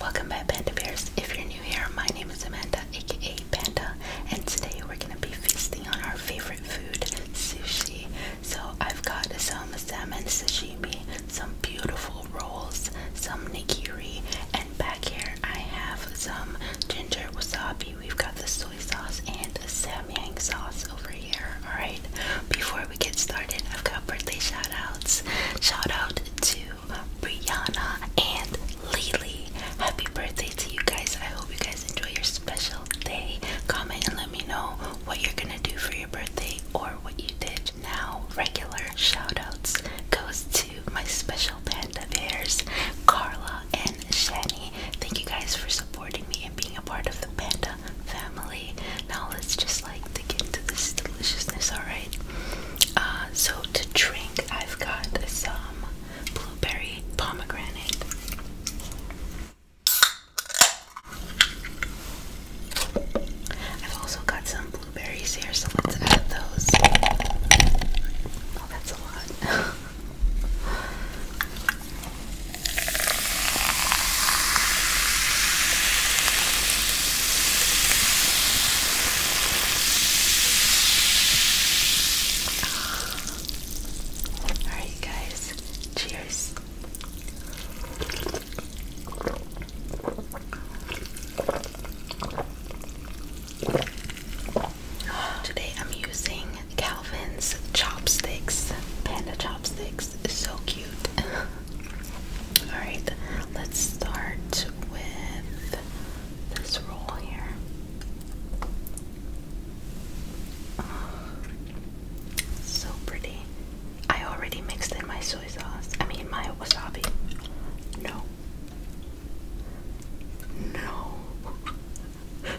Welcome back, Panda Bears. If you're new here, my name is Amanda, aka Panda, and today we're gonna be feasting on our favorite food, sushi. So I've got some salmon sashimi, some beautiful rolls, some nigiri, and back here I have some ginger wasabi. We've got the soy sauce and the samyang sauce over here. Alright, before we get started, I've got birthday shoutouts. Shout out to Brianna and Lily. Happy birthday to you guys. I hope you guys enjoy your special day. Comment and let me know what you're gonna do for your birthday or what you did. Now, regular shoutouts goes to my special panda bears, Carla and Shani. Thank you guys for supporting me and being a part of the panda family. Now let's just like get to this deliciousness, alright? Uh, so to drink, I've got some blueberry pomegranate. I've also got some blueberries here, so let's add those. Oh, that's a lot. All right, guys. Cheers. Today I'm using Calvin's chopsticks, panda chopsticks so cute. Alright, let's start with this roll here. so pretty. I already mixed in my soy sauce. I mean, my wasabi. No. No.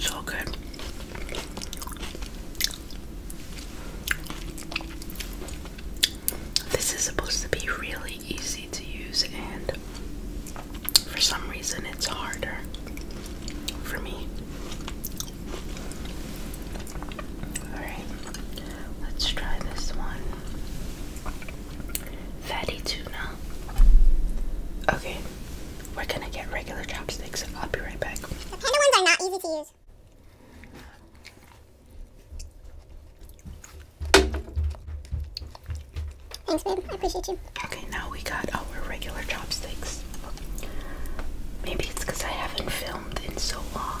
So good. This is supposed to be really easy to use, and for some reason, it's harder for me. Alright, let's try this one fatty tuna. Okay, we're gonna get regular chopsticks. I'll be right back. The kind ones are not easy to use. Thanks, babe. I appreciate you. Okay, now we got our regular chopsticks. Maybe it's because I haven't filmed in so long.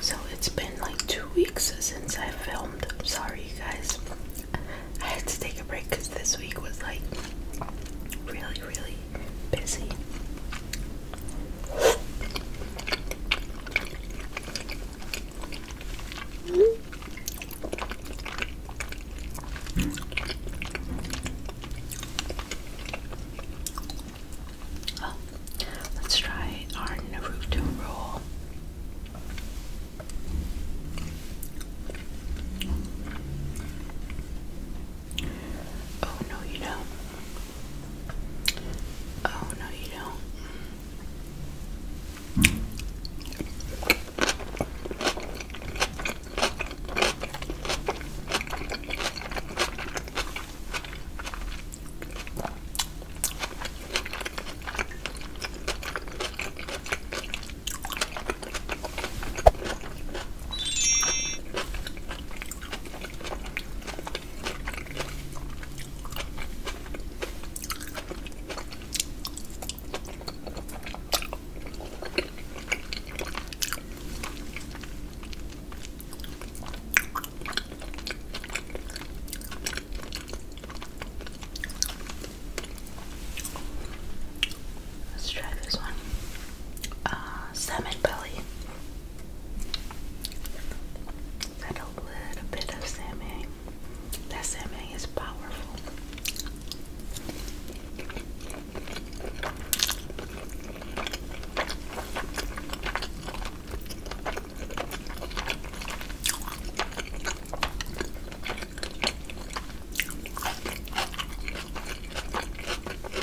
So it's been like two weeks since I filmed. Sorry, guys. I had to take a break because this week was like really, really busy. let's try our Naruto roll. Oh no, you don't. Oh, no, you don't. Let's try this one. Uh, salmon belly. Add a little bit of salmon. That salmon is powerful.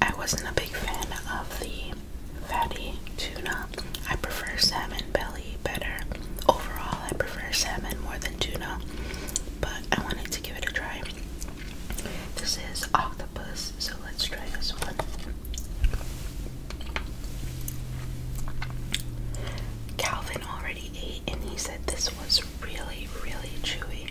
I wasn't a big fan of the fatty tuna. I prefer salmon belly better. Overall, I prefer salmon more than tuna, but I wanted to give it a try. This is octopus, so let's try this one. Calvin already ate and he said this was really, really chewy.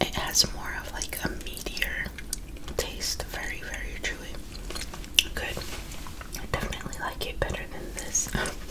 It has more of like a meatier taste, very, very chewy. Good. I definitely like it better than this.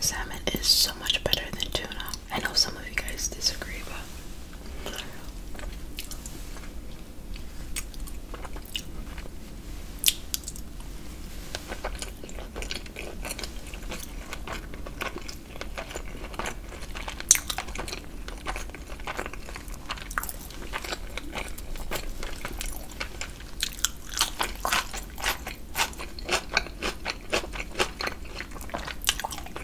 Salmon is so much better than tuna. I know some of you guys disagree, but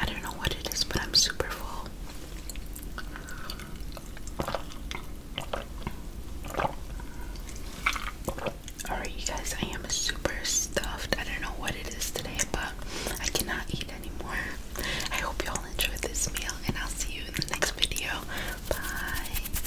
I don't know what it is, but I'm super full. Alright, you guys, I am super stuffed. I don't know what it is today, but I cannot eat anymore. I hope y'all enjoyed this meal, and I'll see you in the next video. Bye.